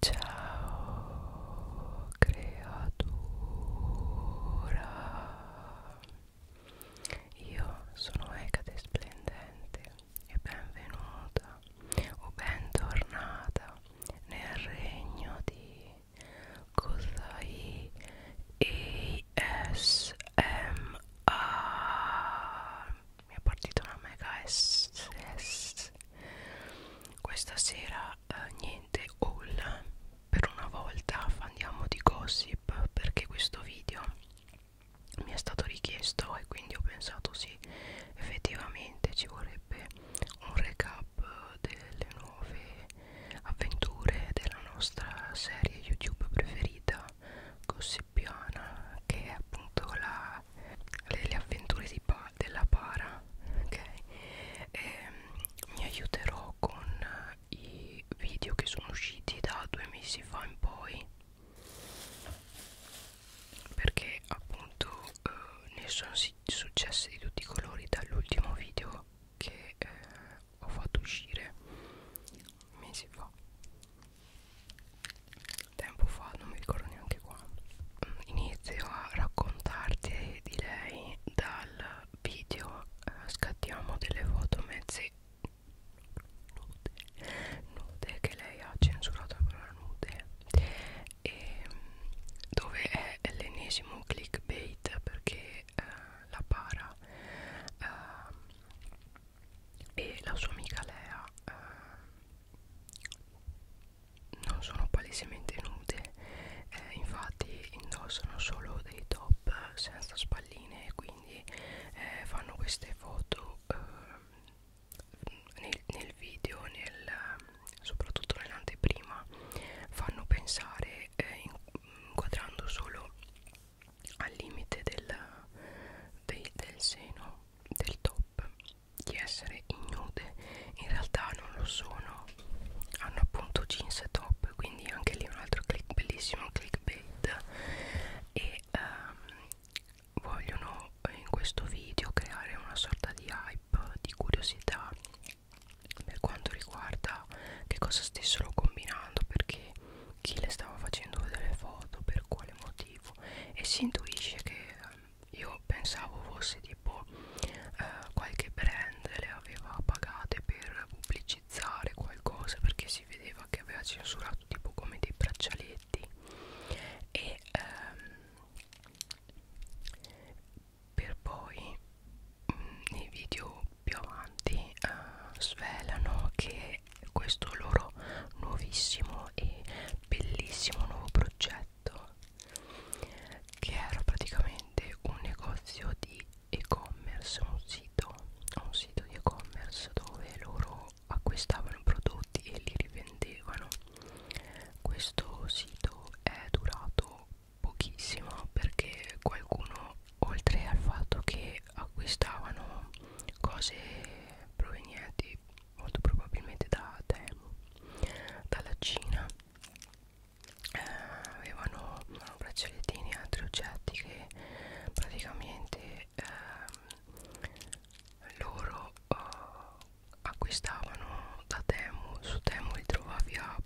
Ciao creatura Io sono Ecate Splendente e benvenuta o bentornata nel regno di Kozai ASMR mi è partita una mega S, S questa sera eh, niente haul per una volta andiamo di gossip perché questo video mi è stato richiesto e quindi ho pensato sì effettivamente ci vorrebbe un recap delle nuove avventure della nostra serie youtube preferita gossipiana che è appunto la, le, le avventure di Paolo della, della para ok e, ehm, mi aiuterò con i video che sono usciti da due mesi fa in poi perché appunto eh, ne sono successe di tutti i colori dall'ultimo video che eh, ho fatto uscire mesi fa tempo fa non mi ricordo neanche quando inizio a raccontarti di lei dal video eh, scattiamo delle foto mezze nude, nude che lei ha censurato la parola nude e mm, dove è l'ennesimo clickbait perché eh, la para eh, e la sua amica Lea eh, non sono palesemente nude eh, infatti indossano solo dei top senza spalline e quindi eh, fanno queste foto eh, nel, nel video nel, soprattutto nell'anteprima fanno pensare eh, inquadrando solo al limite del, del, del seno del top di essere ignude in realtà non lo sono hanno appunto jeans e top quindi anche lì un altro click bellissimo clickbait e um, vogliono eh, in questo video creare una sorta di hype di curiosità per quanto riguarda che cosa stessero combinando perché chi le stava facendo delle foto per quale motivo e si intuisce che um, io pensavo fosse tipo eh, qualche brand le aveva pagate per pubblicizzare qualcosa perché si vedeva che aveva censurato tipo come dei braccialetti e ehm, per poi mh, mm, nei video più avanti eh, svelano che questo loro nuovissimo e bellissimo nuovo progetto Lotto che era praticamente un negozio di e-commerce, un sito, un sito di e-commerce dove loro acquistavano prodotti e li rivendevano. Questo sito è durato pochissimo perché qualcuno oltre al fatto che acquistavano cose provenienti molto probabilmente da Temu dalla Cina eh, avevano braccialettini e altri oggetti che praticamente eh, loro eh, acquistavano da Temu su Temu li trovavi a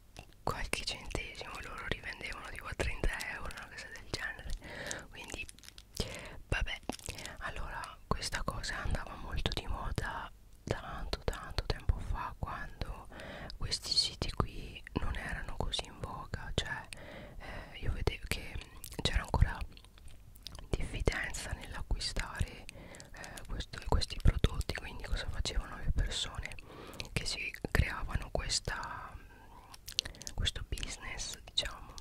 qualche centesimo loro rivendevano tipo a 30 euro una cosa del genere quindi vabbè allora questa cosa andava molto di moda tanto tanto tempo fa quando questi siti qui non erano così in voga cioè eh, io vedevo che c'era ancora diffidenza nell'acquistare eh, questi, questi prodotti quindi cosa facevano le persone che si creavano questa questo business diciamo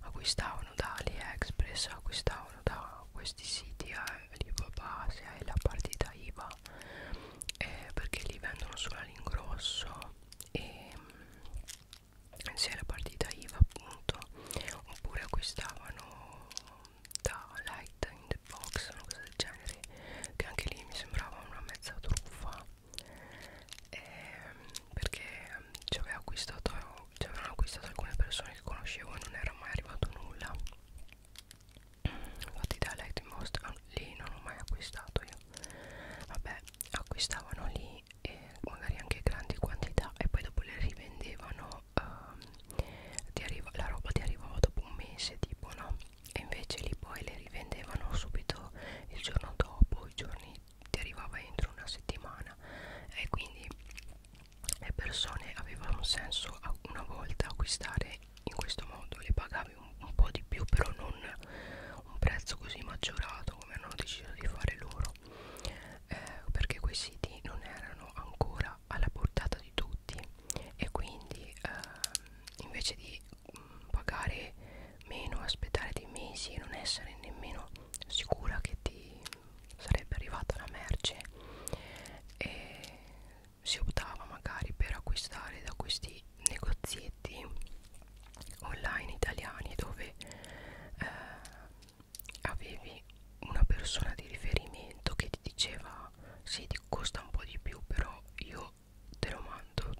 acquistavano da AliExpress acquistavano da questi siti eh, l'IVA base e la partita IVA eh, perché li vendono solo all'ingrosso e mm, se la partita IVA appunto oppure acquistavano da Light in the Box una cosa del genere che anche lì mi sembrava una mezza truffa eh, perché mm, ci aveva acquistato ci avevano acquistato alcune persone che conoscevo e non era mai arrivato nulla infatti da Lightmost ah, lì non ho mai acquistato io vabbè acquistavano lì e magari anche grandi quantità e poi dopo le rivendevano um, ti arriva, la roba ti arrivava dopo un mese tipo no e invece lì poi le rivendevano subito il giorno dopo i giorni ti arrivava entro una settimana e quindi le persone avevano senso una volta acquistare in questo modo le pagavi un, un po' di più però non un prezzo così maggiorato come hanno deciso di fare loro eh, perché quei siti non erano ancora alla portata di tutti e quindi eh, invece di mh, mm, pagare meno aspettare dei mesi e non essere nemmeno sicura che ti sarebbe arrivata la merce e si optava magari per acquistare da questi negozietti online italiani dove eh, avevi una persona di riferimento che ti diceva sì ti costa un po' di più però io te lo mando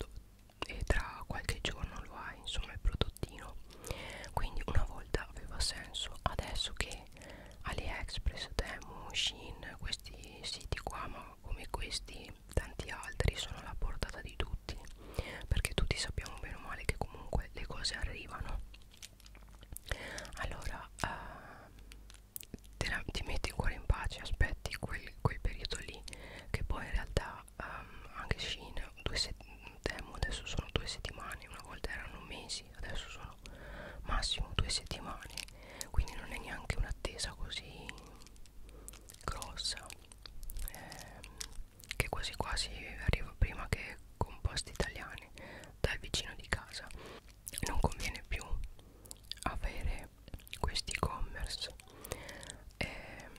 e tra qualche giorno lo hai insomma il prodottino quindi una volta aveva senso adesso che AliExpress, Temu, Shein, questi siti qua ma come questi tanti altri sono alla portata di tutti perché tutti sappiamo bene o male che comunque le cose arrivano allora uh, te la, ti metti il cuore in pace aspetti quel, quel periodo lì che poi in realtà um, anche Shein due Temu adesso sono due settimane una volta erano mesi mesi, adesso sono massimo due settimane, quindi non è neanche un'attesa così grossa, ehm, che quasi quasi arriva prima che composti italiani dal vicino di casa. Non conviene più avere questi e-commerce. Ehm,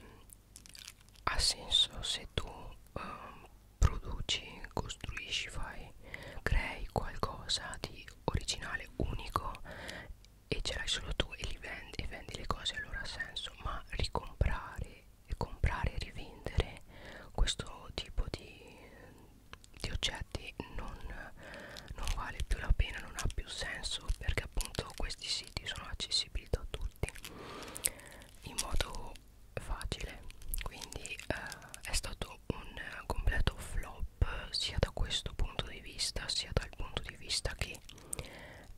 ha senso se tu um, produci, costruisci, fai, crei qualcosa di originale, unico e ce l'hai solo tu e li vendi e vendi le cose allora ha senso, ma ricomprare e comprare e rivendere questo tipo di, di oggetti non, non vale più la pena, non ha più senso perché appunto questi siti sono accessibili da tutti in modo facile quindi eh, è stato un completo flop sia da questo punto di vista sia dal punto di vista che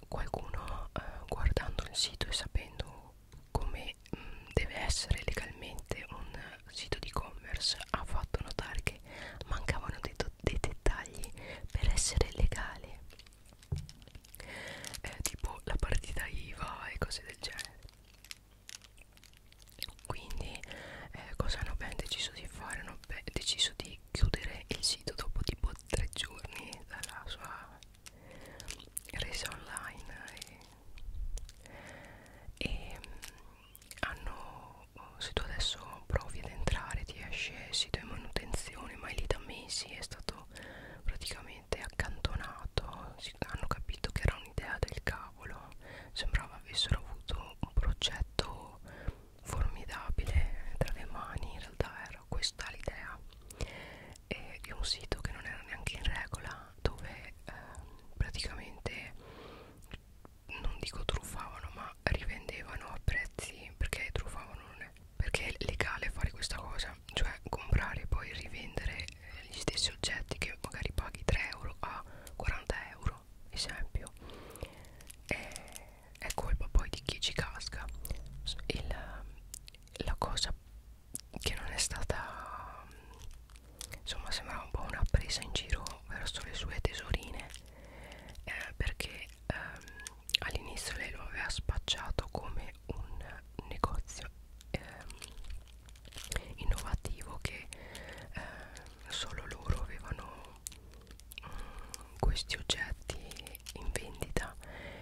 qualcuno eh, guardando il sito e sapendo come mh, mm, deve essere legalmente un sito di e-commerce ha fatto notare che mancavano dei, dei dettagli per essere legale eh, tipo la partita IVA e cose del genere quindi eh, cosa hanno ben deciso di fare hanno deciso di chiudere il sito dopo tipo tre giorni dalla sua resa online e, e hanno se tu adesso provi ad entrare ti esce sito in manutenzione ma è lì da mesi è stato praticamente accantonato si, hanno capito che era un'idea del caso tavolo sembrava avessero avuto un progetto formidabile tra le mani in realtà era questa l'idea e eh, di un sito che non era neanche in regola dove eh, praticamente non dico truffavano ma rivendevano a prezzi perché truffavano non è perché è legale fare questa cosa cioè comprare e poi rivendere gli stessi oggetti che magari paghi 3 euro a 40 euro esempio e, è colpa poi di chi ci casca Il, la cosa che non è stata insomma sembrava un po' una presa in giro verso le sue tesorine eh, perché ehm, all'inizio lei lo aveva spacciato come un negozio ehm, innovativo che eh, solo loro avevano mh, mm, questi oggetti in vendita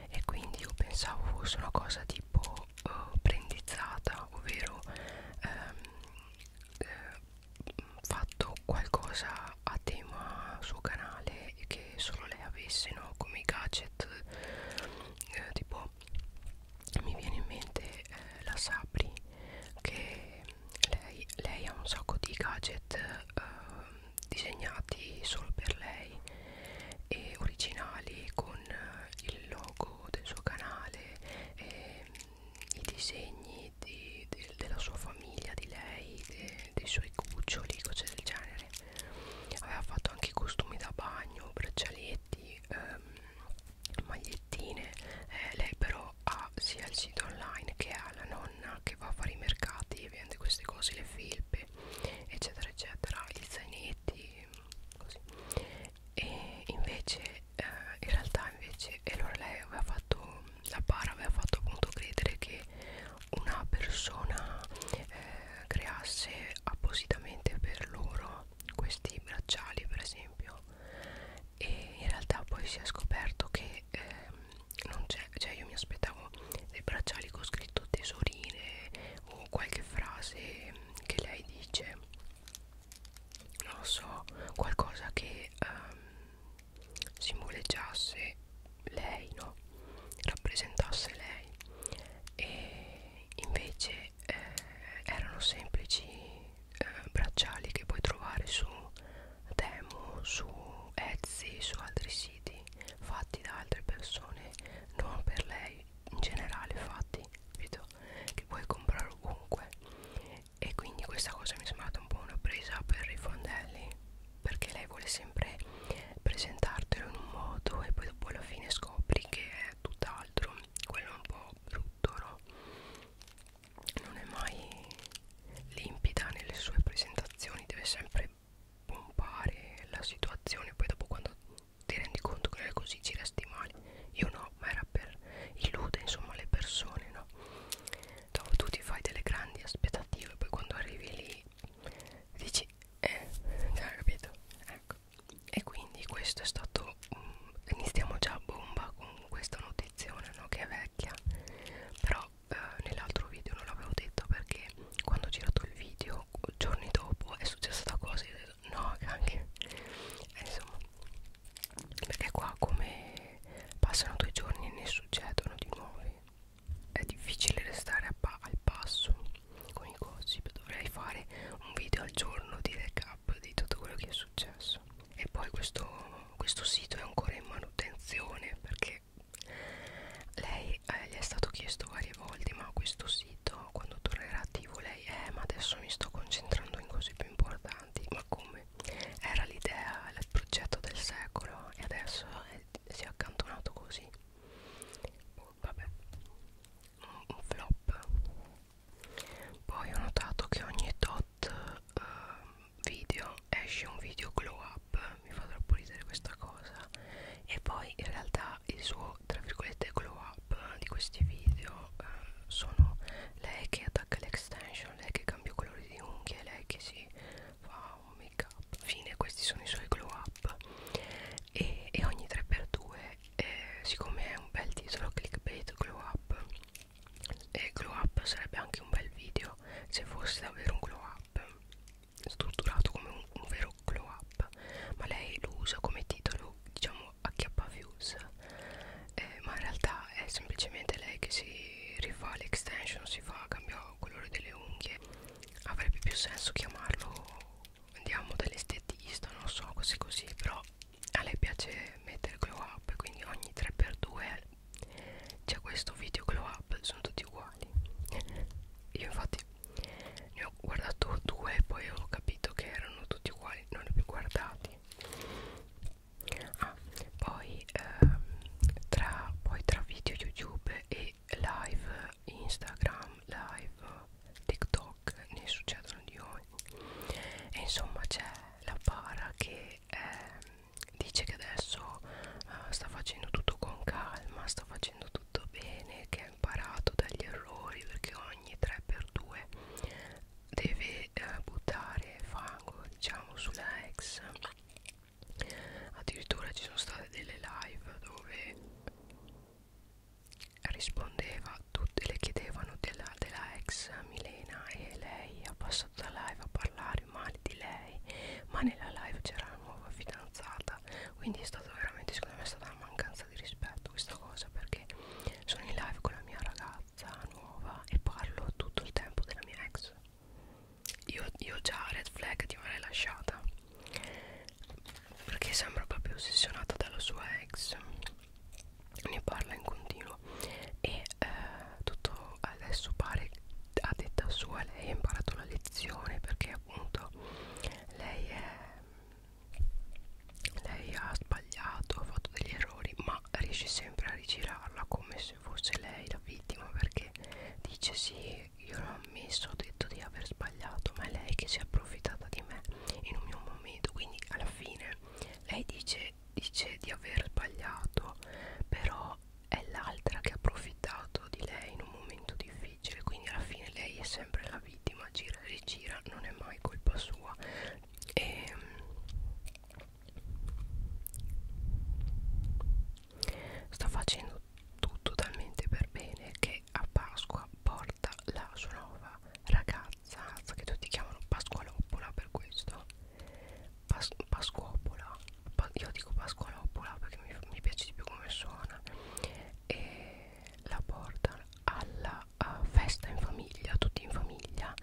e quindi io pensavo fosse una cosa tipo eh, prendizzata ovvero ehm, eh, fatto qualcosa a tema suo canale che solo lei avesse no? come i gadget eh, tipo so mi viene in mente eh, la Sapri che lei, lei ha un sacco di gadget eh, disegnati solo per lei e originali con eh, il logo del suo canale e, mm, i disegni di, de, della sua famiglia di lei de, dei suoi cuccioli cose del genere aveva fatto anche costumi da bagno braccialetti ehm, magliettine eh, lei però ha sia il sito online che ha la nonna che va a fare i mercati e vende queste cose le felpe eccetera eccetera gli zainetti così e invece eh, in realtà invece e allora lei aveva fatto la bara aveva fatto appunto credere che una persona eh, creasse appositamente per loro questi bracciali per esempio e in realtà poi si è scoperto che ehm, non c'è cioè io mi aspettavo dei bracciali con scritto tesorine o qualche frase che lei dice non lo so qualcosa che ehm, simboleggiasse lei no rappresentasse lei e invece e eh, erano semplici eh, bracciali che puoi trovare su Temu, su Etsy, su altri siti fatti da altre persone, non per lei, in generale fatti, capito? Che puoi comprare ovunque e quindi questa cosa mi è sembrata un po' una presa per i fondelli perché lei vuole sempre presentartelo in un modo e poi dopo alla fine scopri che è tutt'altro quello un po' più Totoro non è mai limpida nelle sue presentazioni, deve sempre pompare la situazione, poi dopo quando ti rendi conto che non è così ci resti male. Io no, ma era per illude insomma le persone, no? Dopo tu ti fai delle grandi aspettative, poi quando arrivi lì dici, eh, hai capito? Ecco e quindi questo è stato um, iniziamo già a bomba con questa notizione no? che è vecchia però eh, nell'altro video non l'avevo detto perché quando ho girato il video giorni dopo è successa sta cosa e ho detto no anche e insomma perché qua come passano due giorni e ne succedono di nuovi è difficile restare pa al passo con i gossip dovrei fare un video al giorno di recap recap di tutto quello che è successo e poi questo, questo sito è ancora in manutenzione perché lei eh, gli è stato chiesto varie volte ma questo sito quando tornerà attivo lei eh ma adesso mi sto concentrando in cose più importanti ma come era l'idea il progetto del secolo e adesso è, si è accantonato così oh, vabbè un flop poi ho notato che ogni tot uh, video esce un video glow up mi fa troppo ridere questa cosa e poi in realtà il suo tra virgolette glow up di questi video uh, sono lei che attacca l'extension lei che cambia colori di unghie lei che si fa un make up fine questi sono i suoi glow up e, e ogni 3x2 eh, siccome è un bel titolo clickbait glow up e glow up sarebbe anche un bel video se fosse davvero un glow up strutturato come un, un vero glow up ma lei lo usa come titolo diciamo acchiappa views eh, ma in realtà è semplicemente lei che si rifà l'extension si fa cambia il colore delle unghie avrebbe più senso chiamarlo andiamo dall'estetista non so così così però a lei piace mettere glow up quindi ogni 3x2 c'è questo video glow up sono tutti uguali io infatti ne ho guardato due e poi ho capito che erano tutti uguali non li ho più guardati ah poi ehm, tra poi tra video youtube e live instagram live TikTok ne succedono di ogni e insomma c'è la para che eh, dice che adesso eh, sta facendo tutto con calma sta facendo tutto bene che ha imparato dagli errori perché ogni 3x2 deve eh, buttare fango diciamo sulla ex addirittura ci sono state delle live dove rispondeva, tutte le chiedevano della, della ex Milena e lei ha passato la live a parlare male di lei, ma nella live c'era la nuova fidanzata, quindi è stato veramente, secondo me è stata una mancanza di rispetto questa cosa perché sono in live con la mia ragazza nuova e parlo tutto il tempo della mia ex. Io, io già red flag ti avrei lasciata perché sembra proprio ossessionata dalla sua ex ne parla in continuo e eh, tutto adesso pare a detta sua lei ha imparato la lezione perché appunto lei è lei ha sbagliato ha fatto degli errori ma riesce sempre a rigirarla come se fosse lei la vittima perché dice sì io l'ho ammesso ho detto di aver sbagliato ma è lei che si è approfittata di me in un mio momento quindi alla fine lei dice, dice di aver sbagliato però è l'altra che ha approfittato di lei in un momento difficile quindi alla fine lei è sempre la vittima gira e rigira non è mai colpa sua e ehm, sta facendo tutto talmente per bene che a Pasqua morta la sua nuova ragazza che tutti chiamano Pasqualoppola per questo Pas Pasquopola pa io dico Pasqualoppola perché mi, mi piace di più come suona e la porta alla festa in famiglia tutti in famiglia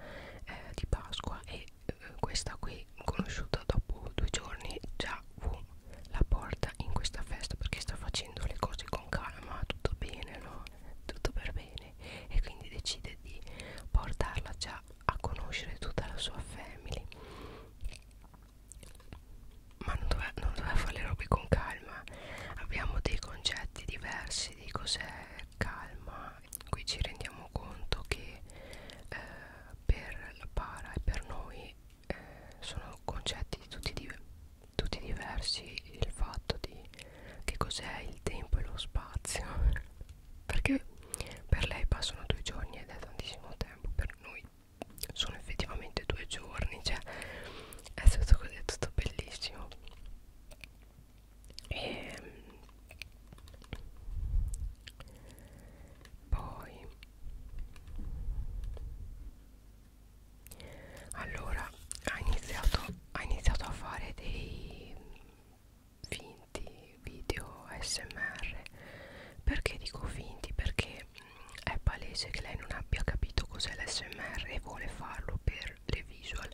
eh, di Pasqua e eh, questa qui conosciuta dopo due giorni già uh, la porta in questa festa perché sta facendo le cose con calma tutto bene no tutto per bene family e quindi decide di portarla già a conoscere tutta la sua family ma non doveva, non doveva fare le robe con calma abbiamo dei concetti diversi di cos'è calma qui ci rendiamo conto che eh, per la para e per noi eh, sono concetti tutti, di, tutti diversi il fatto di che cos'è il tempo e lo spazio perché per lei passano due giorni ed è tantissimo tempo per noi sono effettivamente due giorni cioè è tutto così è tutto bellissimo e ehm, poi allora ha iniziato ha iniziato a fare dei finti video smr perché dico finti perché mm, è palese che lei non abbia capito cos'è l'smr e vuole farlo per le visual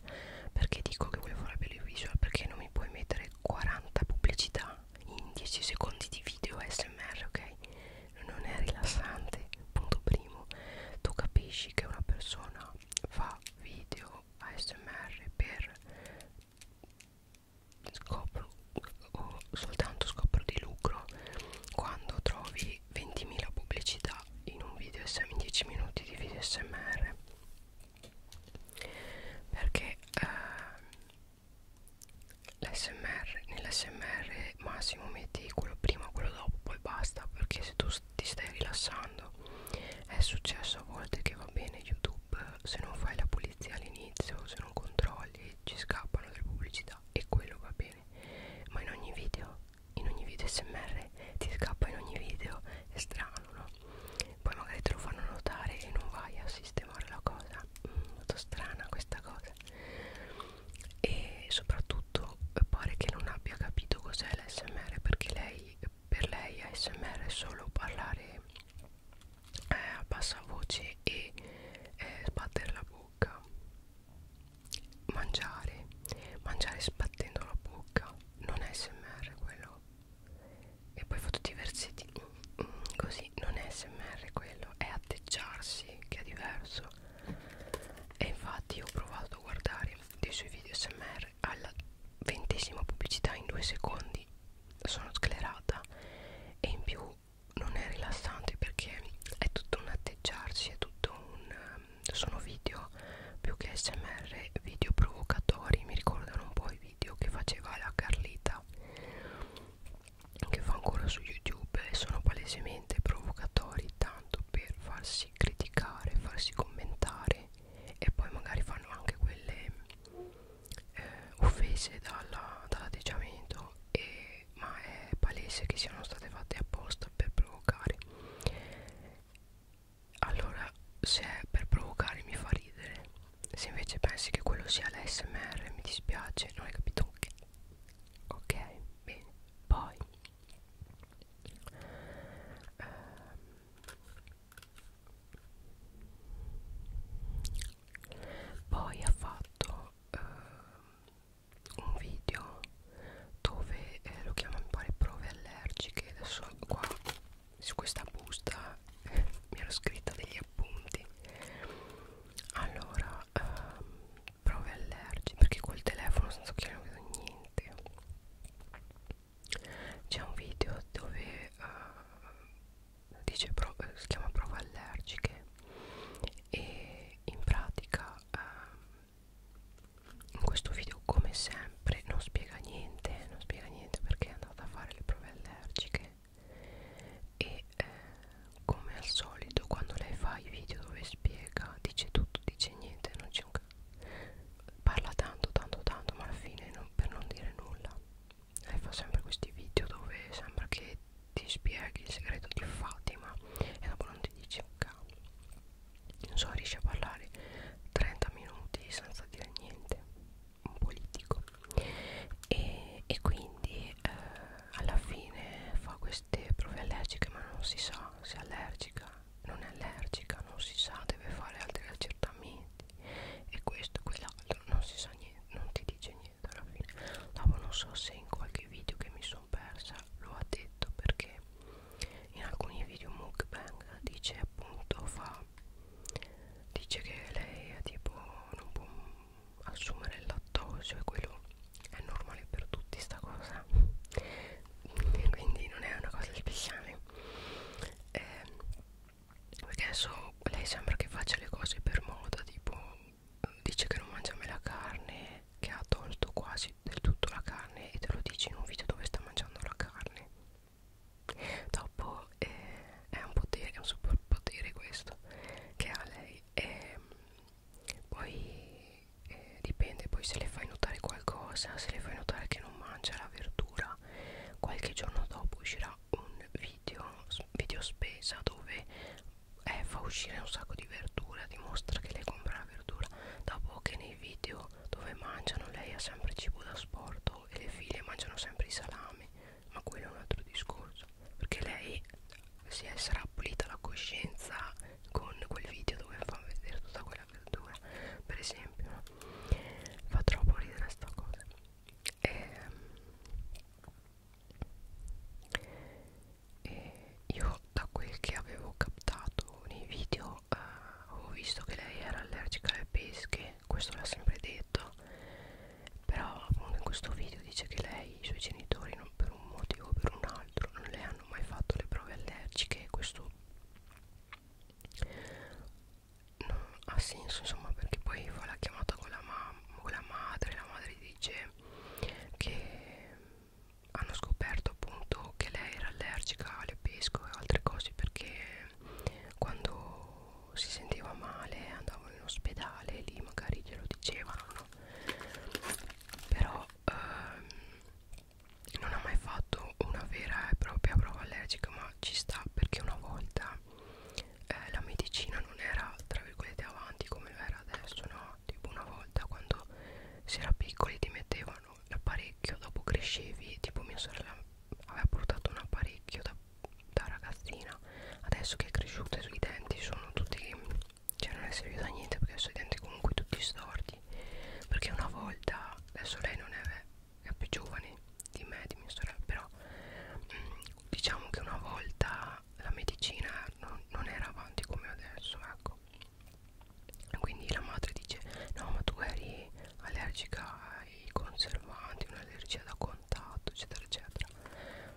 perché dico che vuole farlo per le visual perché non mi puoi mettere 40 pubblicità in 10 secondi di video smr ok non è rilassante punto primo tu capisci che una persona Anna fa video ASMR per scopro o soltanto scopro di lucro quando trovi 20.000 pubblicità in un video in 10 minuti di video smr perché eh, l'smr nell'smr massimo metti quello prima quello dopo poi basta perché se tu ti stai rilassando è successo a volte che va bene youtube se non fai la pulizia all'inizio se non controlli ci scappano delle pubblicità e quello va bene ma in ogni video in ogni video smr ti scappa in ogni video è strano no poi magari te lo fanno notare e non vai a sistemare la cosa mm, molto strana questa cosa e soprattutto eh, pare che non abbia capito cos'è l'SMR perché lei per lei ASMR è solo parlare eh, a bassa voce e eh, sbattere la bocca mangiare mangiare sbattendo la bocca non è smr quello e poi foto tutti i versetti mm, mm, così non è smr quello è atteggiarsi che è diverso e infatti ho provato a guardare dei suoi video smr ASMR alla ventesima pubblicità in due secondi sono sclerata e in più non è rilassante perché è tutto un atteggiarsi, è tutto un... Ehm, sono video più che smr, video provocatori, mi ricordano un po' i video che faceva la Carlita che fa ancora su YouTube e sono palesemente provocatori tanto per farsi criticare, farsi commentare e poi magari fanno anche quelle eh, offese dall'atteggiamento dall ma è palese che siano state fatte apposta per provocare allora se è per provocare mi fa ridere se invece pensi che quello sia l'ASMR mi dispiace non hai capito che ok bene poi ehm, poi ha fatto eh, un video dove eh, lo chiama mi pare prove allergiche adesso qua su questa busta eh, mi ero scritta degli appunti allora eh, prove allergiche perché col telefono senza occhiali non vedo niente c'è un video dove uh, dice pro, eh, si chiama prove allergiche e in pratica uh, in questo video come sempre non spiega niente non spiega niente perché è andata a fare le prove allergiche e eh, come al solito quando lei fa i video dove spiega dice tutto dice niente non c'è un cazzo parla tanto tanto tanto ma alla fine non, per non dire nulla e fa sempre questi video dove sembra che ti spieghi il segreto di Fatima e dopo non ti dice un cavolo non so riesce a parlare 30 minuti senza dire niente un politico e, e quindi eh, alla fine fa queste prove allergiche ma non si sa se è allergica non è allergica, non si sa, deve fare altri accertamenti e questo e quell'altro, non si sa niente, non ti dice niente alla fine. Dopo non so se in qualche video che mi sono persa lo ha detto perché in alcuni video mukbang dice appunto fa dice che lei è tipo non può assumere il lattosio e quello è normale per tutti sta cosa quindi non è una cosa speciale eh, perché adesso lei sembra che faccia le cose per moda tipo dice che non mangia mai la carne che ha tolto quasi del tutto la carne e te lo dici in un video dove sta mangiando la carne dopo eh, è un potere è un superpotere questo che ha lei e ehm, poi eh, eh, dipende poi se le fai notare qualcosa se le fai notare che non mangia la verdura qualche giorno dopo uscirà un video video spesa dove eh, fa uscire un sacco di verdura dimostra che lei compra la verdura dopo che nei video dove mangiano lei ha sempre cibo da sporto e le figlie mangiano sempre i salami ma quello è un altro discorso perché lei si è, sarà pulita la coscienza con quel video dove fa vedere tutta quella verdura per esempio fa troppo ridere sta cosa e, ehm, e io da quel che avevo captato nei video eh, avevo visto che lei era allergica alle pesche questo l'ha sempre detto però appunto in questo video dice che lei i suoi genitori non per un motivo o per un altro non le hanno mai fatto le prove allergiche questo non ha senso insomma perché poi fa la chiamata con la, con la madre la madre dice che hanno scoperto appunto che lei era allergica alle pesco e altre cose perché quando si sentiva male andavano in ospedale e lì magari glielo dicevano no? però ehm, non ha mai fatto una vera e propria prova allergica ma ci sta perché una volta eh, la medicina non era tra virgolette avanti come lo era adesso no tipo una volta quando si era piccoli ti mettevano l'apparecchio dopo crescevi tipo mia sorella aveva portato un apparecchio da, da ragazzina adesso che è cresciuta i suoi denti sono tutti cioè non è servito a niente perché adesso i denti comunque tutti storti perché una volta adesso lei non è è più giovane di me, di mia sorella, però mh, mm, diciamo che una volta la medicina non, non era avanti come adesso, ecco. Quindi la madre dice, no ma tu eri allergica ai conservanti, un'allergia da contatto, eccetera, eccetera.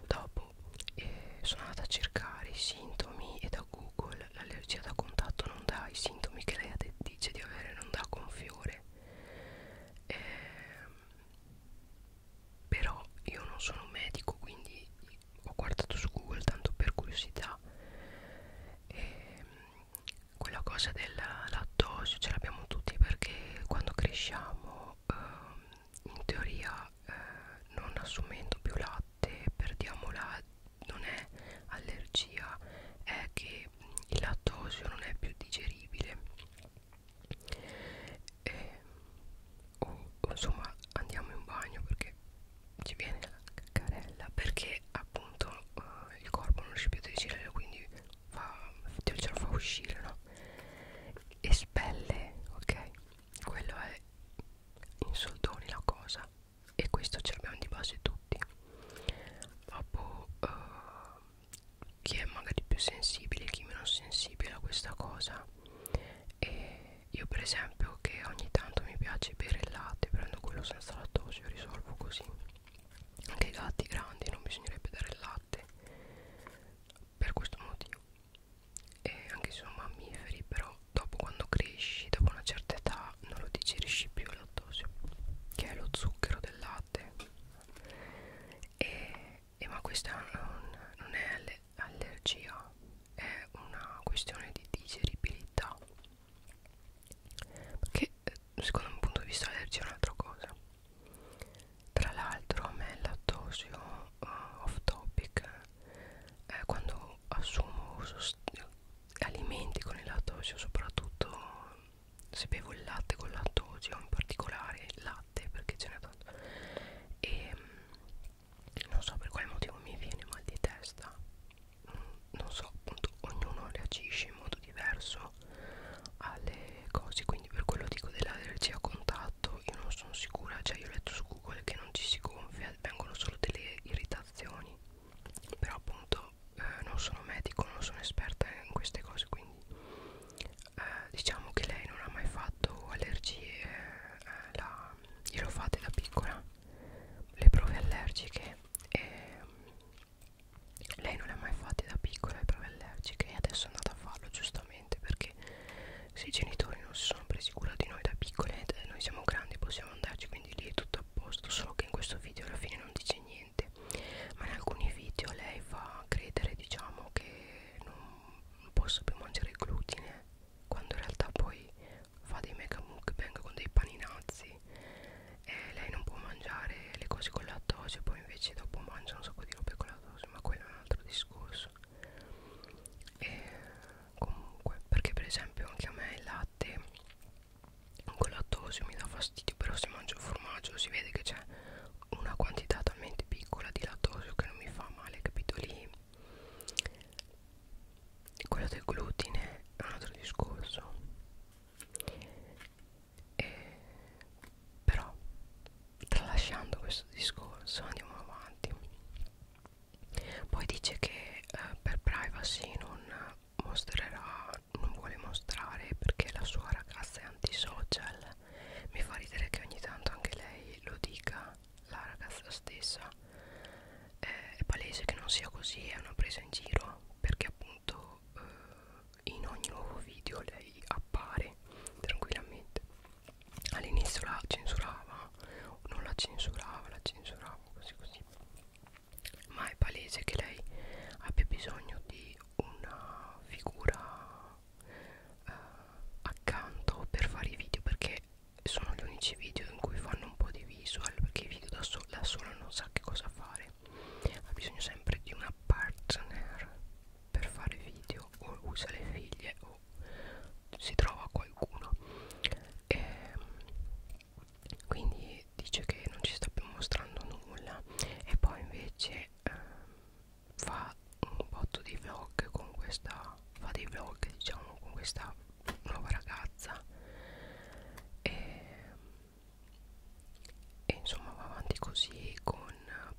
Dopo eh, sono andata a cercare i sintomi e da Google l'allergia da contatto non dà i sintomi che lei dice di avere, non dà con fiore. Eh, però io non sono medico, quindi ho guardato su Google tanto per curiosità. E ehm, quella cosa del lattosio ce l'abbiamo tutti perché quando cresciamo eh, in teoria eh, non assumendo più latte perdiamo la non è allergia è che il lattosio non è più digeribile e, oh, insomma andiamo in bagno perché ci viene la caccarella perché appunto eh, il corpo non riesce più a digerire quindi fa, ce lo fa uscire no? espelle ok quello è in soldoni la cosa e questo ce l'abbiamo di base tutti dopo uh, chi è magari più sensibile chi meno sensibile a questa cosa e io per esempio che ogni tanto mi piace bere il latte prendo quello senza lattosio risolvo così anche i gatti grandi non bisognerebbe dare il latte per questo motivo e anche se sono mammiferi però dopo quando cresci dopo una certa età non lo digerisci più il lattosio che è lo zucchero del latte e, e ma questa non, non è alle, allergia è una questione di digeribilità perché eh, secondo un punto di vista l'allergia è un'altra cosa tra l'altro a me il lattosio uh, off topic eh, quando assumo sost alimenti con il lattosio soprattutto se bevo il latte con lattosio in particolare il latte perché ce n'è tanto e mm, non so per quale motivo mi viene mal di testa mm, non so appunto ognuno reagisce in modo diverso alle cose quindi per quello dico dell'allergia a contatto io non sono sicura cioè io ho letto su google che non ci si gonfia vengono solo delle irritazioni però appunto io eh, non sono medico, non sono esperta in queste cose, quindi eh, diciamo che lei non ha mai fatto allergie, eh, la, io l'ho fatta da piccola, le prove allergiche e lei non le ha mai fatte da piccola le prove allergiche e adesso è andata a farlo giustamente perché se i genitori non si sono presi cura di noi da piccole eh, noi siamo grandi possiamo andarci quindi lì è tutto a posto solo che in questo video alla fine non dice niente niente ma in alcuni video lei fa credere diciamo che non posso più mangiare il glutine quando in realtà poi fa dei mega mukbang con dei paninazzi e lei non può mangiare le cose con lattosio poi invece dopo mangia un sacco di robe con lattosio ma quello è un altro discorso e comunque perché per esempio anche a me il latte con lattosio mi dà fastidio Però se mangio il formaggio si vede che c'è una quantità talmente piccola di lattosio Che non mi fa male, capito lì Quello del glutine è un altro discorso e, Però tralasciando questo discorso andiamo avanti poi dice che eh, per privacy non mostrerà non vuole mostrare perché la sua ragazza è antisocial mi fa ridere che ogni tanto anche lei lo dica la ragazza stessa eh, è palese che non sia così è una presa in giro perché appunto eh, in ogni nuovo video lei appare tranquillamente all'inizio la censurava non la censurava la censurava così così ma è palese che lei abbia bisogno di una figura eh, accanto per fare i video perché sono gli unici video in cui fanno un po' di visual perché i video da, so da sola non sa che cosa fare ha bisogno sempre di una partner per fare video o usa le figlie o si trova qualcuno e ehm, quindi dice che non ci sta più mostrando nulla e poi invece eh, fa un botto di vlog con questa fa dei vlog diciamo con questa nuova ragazza e, e insomma va avanti così con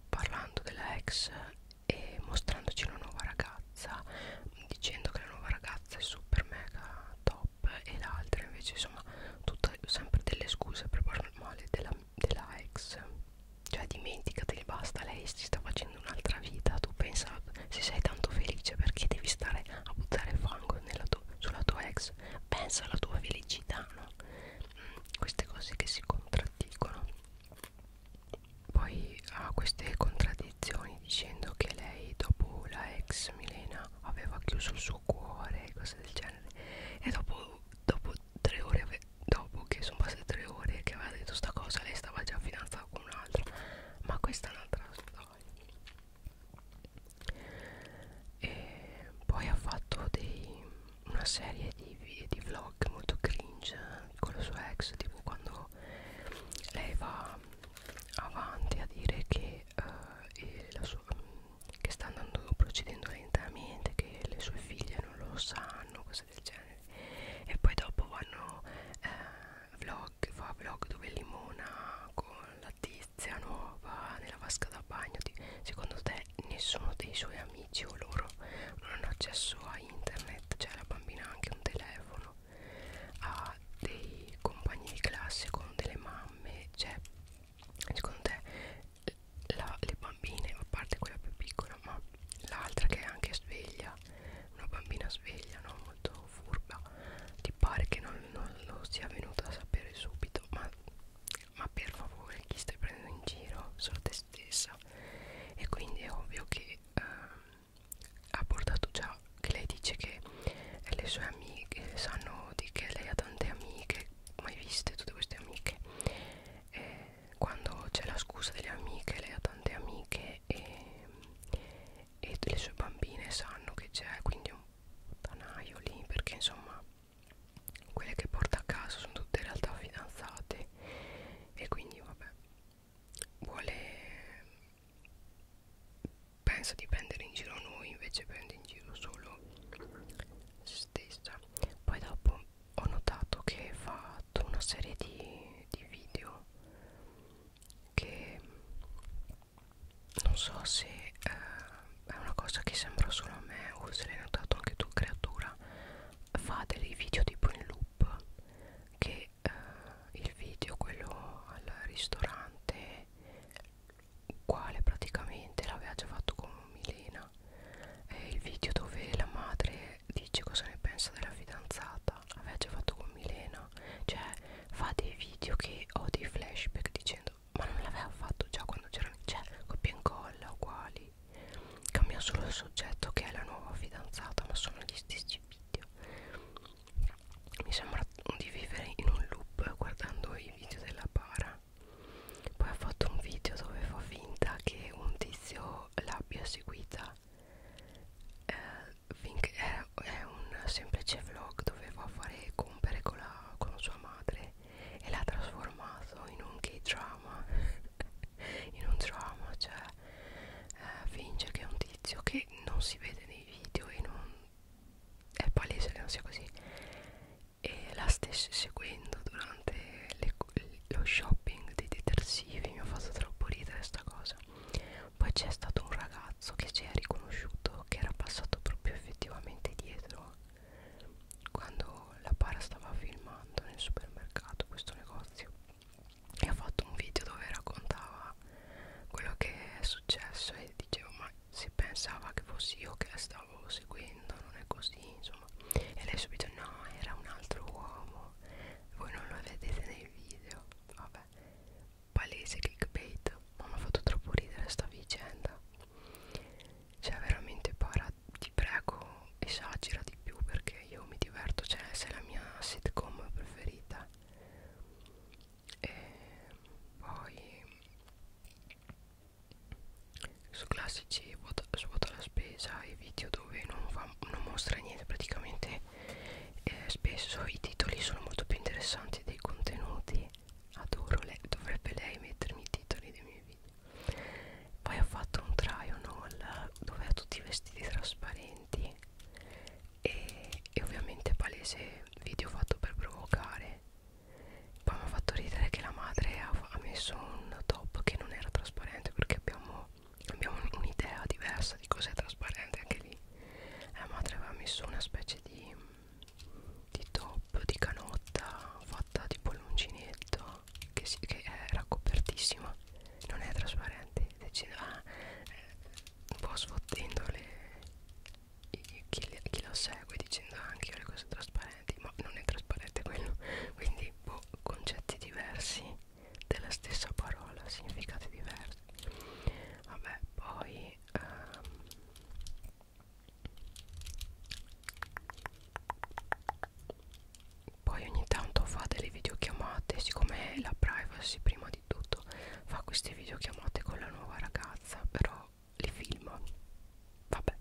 parlando della ex e mostrandoci una nuova ragazza dicendo che la nuova ragazza è super mega top shop e l'altra invece insomma tutte sempre delle scuse per parlare male della, della ex cioè dimenticateli basta lei si sta facendo un'altra vita tu pensa se sei tanto felice perché devi stare a buttare fango nella tu, sulla tua ex pensa alla tua felicità no? Mm, queste cose che si contraddicono poi ha queste contraddizioni dicendo che lei dopo la ex Milena aveva chiuso il suo cuore e cose del genere e dopo, dopo tre ore ave, dopo che sono passate tre ore che aveva detto sta cosa lei stava già fidanzata con un'altra ma questa è un'altra storia e poi ha fatto dei, una serie di, di vlog molto cringe con la sua ex tipo quando lei va avanti a dire che uh, la sua che sta andando procedendo lentamente che le sue figlie non lo sanno cose del genere e poi dopo vanno eh, vlog fa vlog dove limona con la tizia nuova nella vasca da bagno secondo te nessuno dei suoi amici o loro non hanno accesso a internet cioè la bambina ha anche un telefono ha dei compagni di classe con delle mamme cioè secondo te la, le bambine a parte quella più piccola ma l'altra che è anche sveglia una bambina sveglia no? molto furba ti pare che non, non lo sia venuta a sapere subito ma, ma per favore chi stai prendendo in giro solo te stessa e quindi è ovvio che ehm, ha portato già cioè, che lei dice che e le sue amiche sanno di che lei ha tante amiche mai viste tutte queste amiche e quando c'è la scusa delle amiche lei ha tante amiche e, e le sue bambine sanno che c'è quindi un tanaio lì perché insomma quelle che porta a casa sono tutte in realtà fidanzate e quindi vabbè vuole pensa di prendere in giro noi invece prende in giro solo se stessa poi dopo ho notato che fa tutta una serie di, di video che non so se eh, è una cosa che sembra solo a me o se l'hai notato anche tu creatura fa dei video tipo in loop che eh, il video quello al ristorante uguale praticamente l'aveva già fatto con Milena eh, il video dove la madre dice cosa ne pensa della fidanzata l'aveva già fatto con Milena cioè fa dei video che ho dei flashback dicendo ma non l'aveva fatto già quando c'erano cioè coppia e incolla uguali cambia solo il soggetto che è la nuova fidanzata ma sono gli stessi video mi sembra di vivere in un loop guardando i video della para poi ha fatto un video dove fa finta che un tizio l'abbia seguita eh, finché è, è un semplice vlog dove va a fare compere con, la, con sua madre e l'ha trasformato in un gay drama in un drama cioè eh, finge che è un tizio che non si vede nei video e non è palese che non sia così e la stessi seguendo durante le, lo shopping dei detersivi mi ha fatto troppo ridere sta cosa poi c'è stato un ragazzo che ci ha riconosciuto che era passato proprio effettivamente dietro quando la para stava filmando nel supermercato questo negozio e ha fatto un video dove raccontava quello che è successo e dicevo ma si pensava che fossi io che la stavo seguendo non è così insomma e lei subito no era un altro uomo voi non lo vedete nei video vabbè palese clickbait ma mi ha fatto troppo ridere sta vicenda cioè veramente para ti prego esagera di più perché io mi diverto cioè se è la mia sitcom preferita e poi su classici vuota, su vuota la spesa e video dove non, fa, non mostra niente praticamente eh, spesso i titoli sono molto più interessanti dei contenuti adoro lei dovrebbe lei mettermi i titoli dei miei video poi ho fatto un try on all dove ha tutti i vestiti trasparenti e, e ovviamente palese video fatto per provocare poi mi ha fatto ridere che la madre ha, ha messo un top che non era trasparente perché abbiamo, abbiamo un'idea diversa di cos'è trasparente anche lì la madre aveva messo una specie di, di top di canotta fatta tipo l'uncinetto che, si, che era copertissima non è trasparente decide, ah, eh, un po' sfottendo le, chi, chi, chi la segue dicendo anche io le cose trasparenti ma non è trasparente quello quindi boh, concetti diversi della stessa parola significati diversi vabbè poi um, poi ogni tanto fa delle videochiamate siccome la privacy prima di tutto fa queste videochiamate con la nuova ragazza però li filma vabbè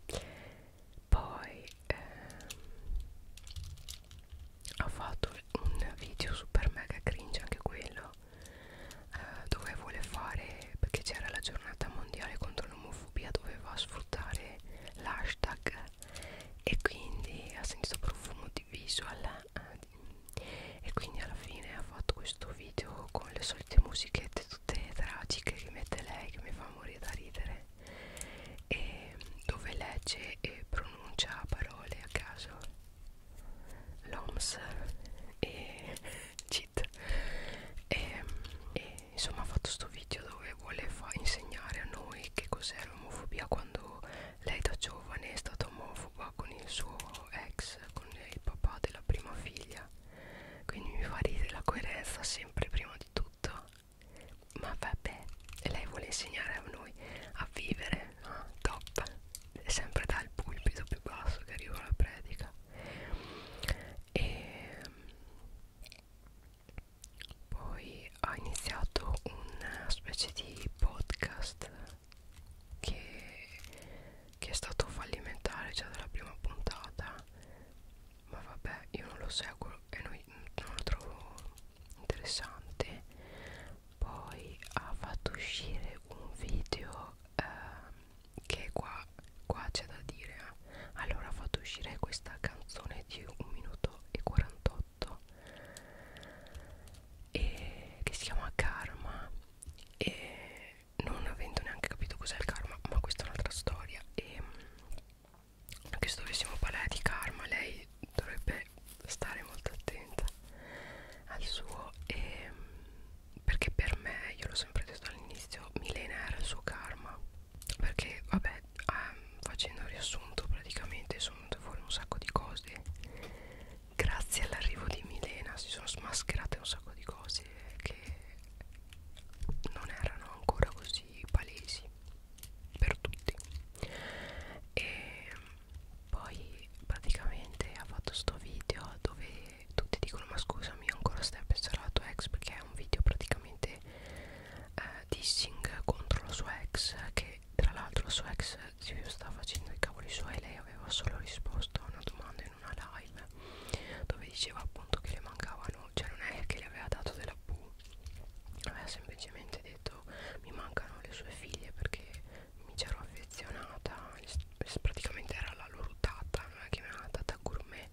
poi ehm, ho fatto un video super mega cringe anche quello eh, dove vuole fare perché c'era la giornata mondiale contro l'omofobia doveva sfruttare l'hashtag e quindi ha sentito profumo di visual eh, e quindi alla fine ha fatto questo video con le solite musiche scalette tutte tragiche che mette lei che mi fa morire da ridere e dove legge e pronuncia parole a caso l'OMS e cheat e, e insomma ha fatto sto video dove vuole insegnare a noi che cos'è l'omofobia quando lei da giovane è stata omofoba con il suo ex con il papà della prima figlia quindi mi fa ridere la coerenza sempre prima di tutto ma vabbè e lei vuole insegnare a noi a vivere ah, top è sempre dal pulpito più basso che arriva la predica e ehm, poi ha iniziato una specie di podcast che che è stato fallimentare già dalla prima puntata ma vabbè io non lo seguo e non, non lo trovo interessante poi ha fatto uscire un video eh, che qua qua c'è da dire eh. allora ha fatto uscire questa canzone di 1 minuto e 48 e che si chiama Karma e non avendo neanche capito cos'è il karma ma questa è un'altra storia e anche mm, se dovessimo parlare di karma lei dovrebbe stare molto attenta al suo e, mm, perché per me io l'ho sempre detto all'inizio Milena era il suo karma perché vabbè um, facendo riassunto praticamente sono venute fuori un sacco di cose grazie all'arrivo di Milena si sono smascherate un sacco di cose che non erano ancora così palesi per tutti e poi praticamente ha fatto sto video dove tutti dicono ma scusami ancora stai a pensare alla tua ex perché è un video praticamente eh, dissing contro la sua ex che tra l'altro la sua ex si stava facendo i cavoli suoi lei aveva solo risposto a una domanda in in una live dove diceva appunto che le mancavano cioè non è che le aveva dato della Pooh aveva semplicemente detto mi mancano le sue figlie perché mi c'ero affezionata praticamente era la loro tata non è che mi era una tata gourmet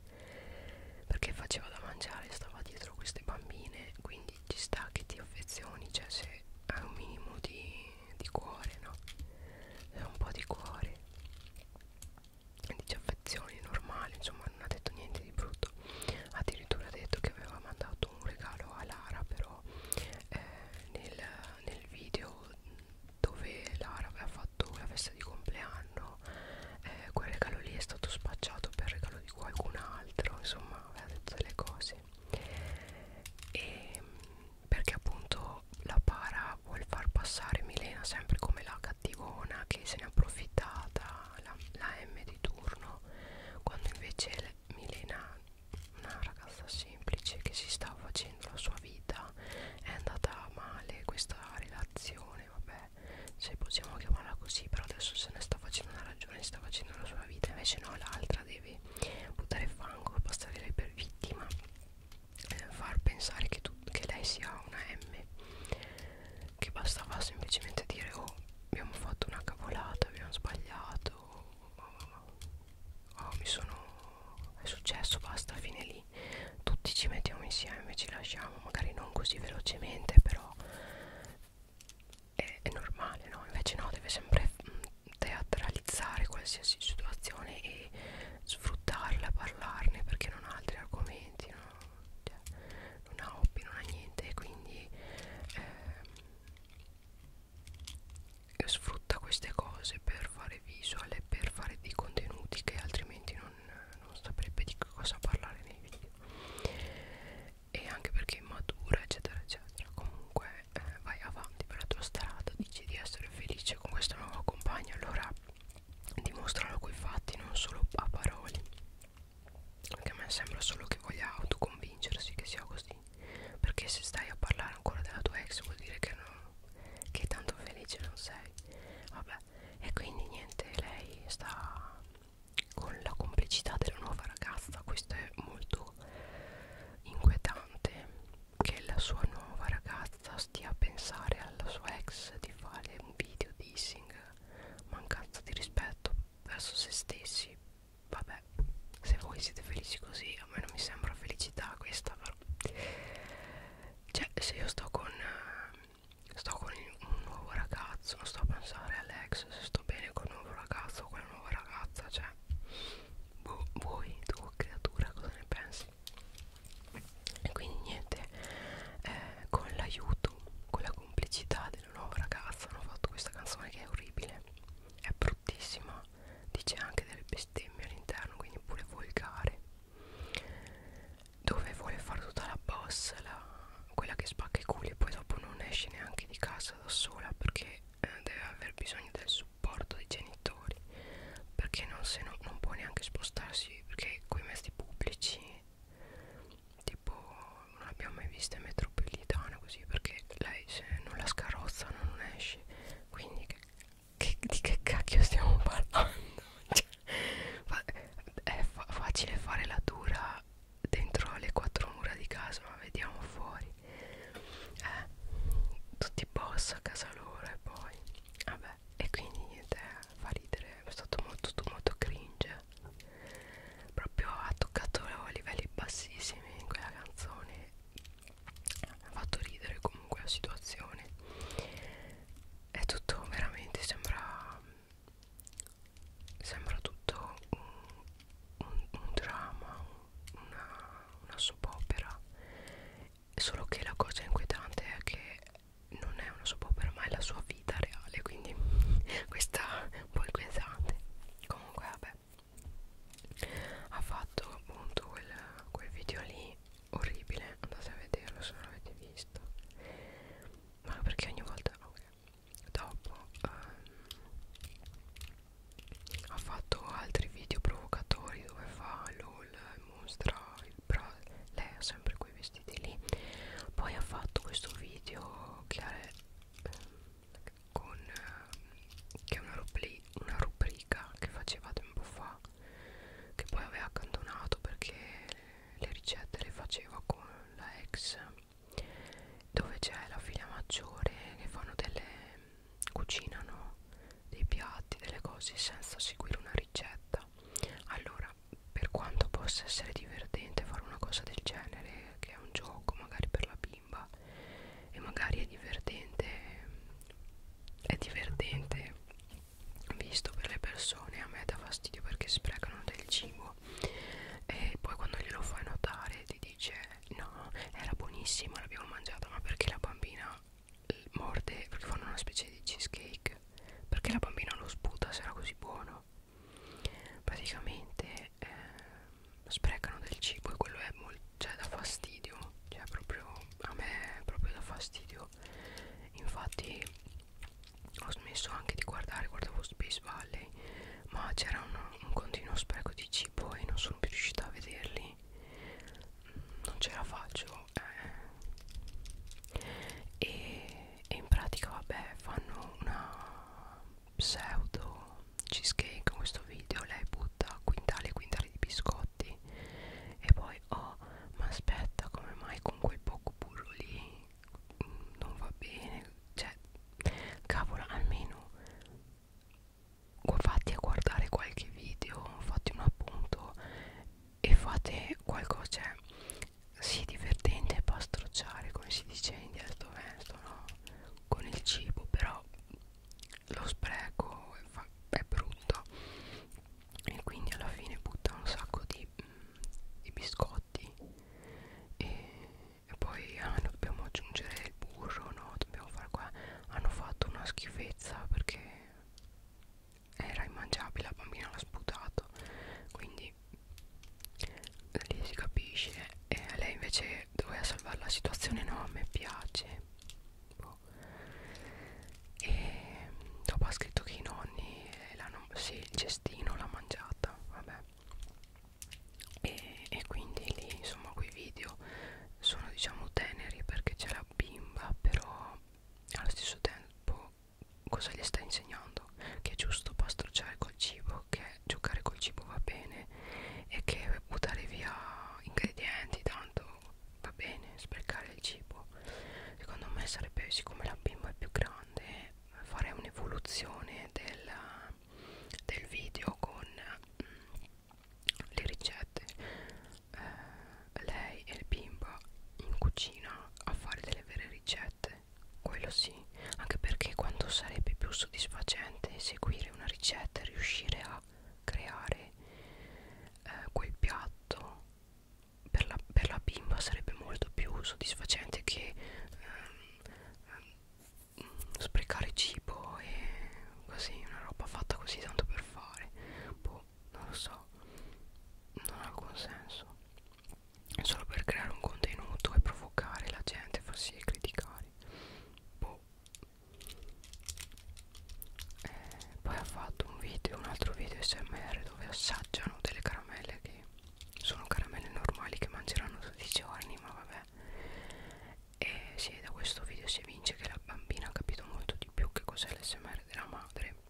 perché faceva da mangiare stava dietro queste bambine quindi ci sta che ti affezioni cioè se hai un minimo di, di cuore no un po' di cuore disaffezioni normali insomma non ha detto niente di brutto addirittura ha detto che aveva mandato un regalo a Lara però eh, nel, nel video dove Lara aveva fatto la festa di compleanno eh, quel regalo lì è stato spacciato per regalo di qualcun altro insomma aveva detto delle cose e perché appunto la para vuol far passare Milena sempre come la cattivona che se ne è approfittata la, la M di turno quando invece le, Milena una ragazza semplice che si sta facendo la sua vita è andata male questa relazione vabbè se possiamo chiamarla così però adesso se ne sta facendo una ragione sta facendo la sua vita invece no l'altra deve buttare fango e passare lei per vittima eh, far pensare che, tu, che lei sia una M che bastava semplicemente dire oh abbiamo fatto una cavolata abbiamo sbagliato oh, mi sono è successo basta fine lì tutti ci mettiamo insieme ci lasciamo magari non così velocemente però è, è normale no invece no deve sempre mh, mm, teatralizzare qualsiasi situazione e sfruttarla, parlarne perché non ha altri argomenti, no? cioè, non ha hobby, non ha niente, quindi eh, sfrutta queste cose per fare visual e per fare dei contenuti che altrimenti non, non saprebbe di cosa parlare nei video e anche perché è matura eccetera eccetera comunque eh, vai avanti per la tua strada dici di essere felice con questa nuova compagna allora dimostrano coi fatti non solo a parole perché a me sembra solo che voglia autoconvincersi che sia così perché se stai a parlare ancora della tua ex vuol dire che, non, che tanto felice non sei vabbè e quindi niente lei sta con la complicità della nuova ragazza questo è molto inquietante che la sua nuova ragazza stia a pensare alla sua ex di di fare un video dissing mancanza di rispetto verso se stessi vabbè se voi siete felici così a me non mi sembra felicità questa però cioè se io sto con sto con un nuovo ragazzo non sto a pensare all'ex se sto bene con un nuovo ragazzo o con una nuova ragazza cioè boh, voi tu creatura cosa ne pensi e quindi niente eh, con l'aiuto con la complicità della nuova ragazza hanno fatto questa canzone che è orribile è bruttissima dice anche delle bestemmie all'interno quindi pure volgare dove vuole fare tutta la boss la, quella che spacca i culi e poi dopo non esce neanche di casa da sola perché eh, deve aver bisogno del supporto dei genitori perché non, se no, non può neanche spostarsi oggi perché quei mezzi pubblici tipo non abbiamo mai visto in metropolitana così perché lei se non la scarrozza non esce quindi che, che, di che cacchio stiamo parlando cioè, è fa facile fare la dura dentro le quattro mura di casa ma vediamo fuori eh, tutti boss a casa loro e poi vabbè e quindi niente fa ridere è stato molto molto cringe proprio ha toccato livelli bassissimi in quella canzone ha fatto ridere comunque la situazione è tutto veramente sembra sembra tutto un, un, un dramma una, una soap opera solo che la cosa inquietante è che non è una soap opera ma è la sua vita reale quindi questa è un po' inquietante comunque vabbè ha fatto appunto quel, quel video lì orribile andate a vederlo se non l'avete visto ma perché ogni volta okay. dopo um, ha fatto altri video provocatori dove fa lol e mostra il bra lei ha sempre quei vestiti lì poi ha fatto questo video che è, ehm, con, ehm, che è una, rubri una rubrica che faceva tempo fa che poi aveva accantonato perché le ricette le faceva con la ex dove c'è la figlia maggiore che fanno delle cucinano dei piatti, delle cose senza seguire una ricetta vita allora per quanto possa essere divertente fare una cosa del genere che è un gioco magari per la bimba e magari è divertente è divertente visto per le persone a me dà fastidio perché sprecano del cibo e poi quando glielo fai notare ti dice no era buonissima l'abbiamo mangiata ma perché la bambina morde perché fanno una specie di cheesecake perché la bambina lo sputa se era così buono praticamente eh, sprecano del cibo e quello è molto cioè da fastidio cioè proprio a me è proprio da fastidio infatti ho smesso anche di guardare guardavo Space Valley ma c'era un, un continuo spreco di cibo e non sono più riuscita a vederli non ce la faccio eh. e, e in pratica vabbè fanno una pseudo cheesecake in questo video lei butta quintali e quintali di biscotti e poi oh ma aspetta come mai con quel poco burro lì non va bene cioè cavolo almeno fatti a guardare qualche video fatti un appunto e fate qualcosa cioè, sì divertente pastrocciare come si dice in dialetto veneto no? con il cibo però lo spreco è brutto e quindi alla fine butta un sacco di, mm, di biscotti e, e poi ah, dobbiamo aggiungere il burro no dobbiamo fare qua hanno fatto una schifezza perché era immangiabile la bambina l'ha sputato quindi lì si capisce e lei invece doveva salvare la situazione no a me piace boh. e dopo ha scritto che i nonni l'hanno sì il cestino l'ha mangiata vabbè e, e quindi lì insomma quei video sono diciamo teneri perché c'è la bimba però allo stesso tempo cosa gli sta insegnando che è giusto pastrocciare col cibo che giocare col cibo va bene e che buttare via ingredienti tanto va bene sprecare il cibo secondo me sarebbe siccome la bimba è più grande fare un'evoluzione del, del video con mm, le ricette eh, lei e il bimbo in cucina a fare delle vere ricette quello sì anche perché quando sarebbe più soddisfacente seguire una ricetta e riuscire a creare eh, quel piatto per la, per la bimba sarebbe molto più soddisfacente che ehm, sprecare cibo e così una roba fatta così tanto per fare boh non lo so non ha alcun senso è solo per creare un contenuto e provocare la gente far sì e criticare boh. eh, poi ha fatto un video un altro video smr dove assaggiano delle caramelle che sono caramelle normali che mangeranno tutti i giorni ma vabbè e sì, da questo video si vince che la bambina ha capito molto di più che cos'è l'SMR della madre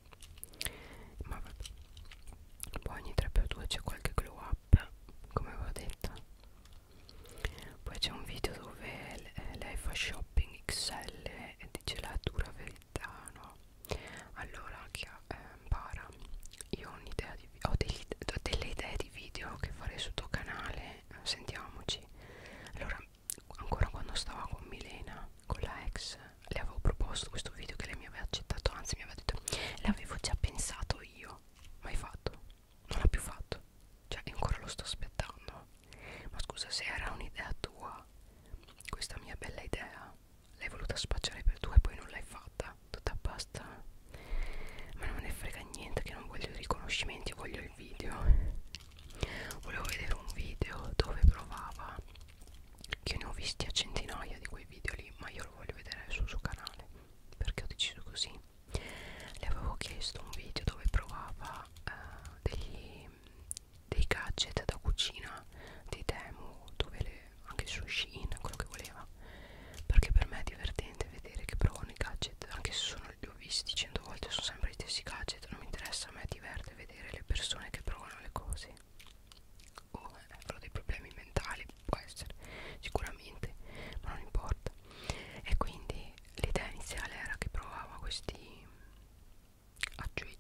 ma vabbè poi ogni 3x2 c'è qualche glow up come avevo detto poi c'è un video dove eh, lei fa shopping XL e dice la dura verità no allora chi ha eh, para io ho un'idea di ho degli, delle idee di video che farei sul tuo canale sentiamoci allora ancora quando stavo con Milena con la ex le avevo proposto questo video che lei mi aveva accettato anzi mi aveva detto l'avevo già pensato io mai fatto non l'ha più fatto cioè ancora lo sto aspettando ma scusa se era un'idea tua questa mia bella idea l'hai voluta spacciare per tua e poi non l'hai fatta tutta basta ma non me ne frega niente che non voglio i riconoscimenti voglio il video volevo vedere un video dove provava che ne ho visti a centinaia di quei video lì ma io lo voglio vedere sul suo canale perché ho deciso così le avevo chiesto un video dove provava eh, degli, dei gadget da cucina di Temu dove le, anche il sushi in quello che voleva perché per me è divertente vedere che provano i gadget anche se sono, li ho visti cento volte sono sempre gli stessi gadget non mi interessa a me diverte vedere le persone che provano le cose o eh, avrò dei problemi mentali può essere sicuramente ma non importa e quindi l'idea iniziale era che provava questi aggiungi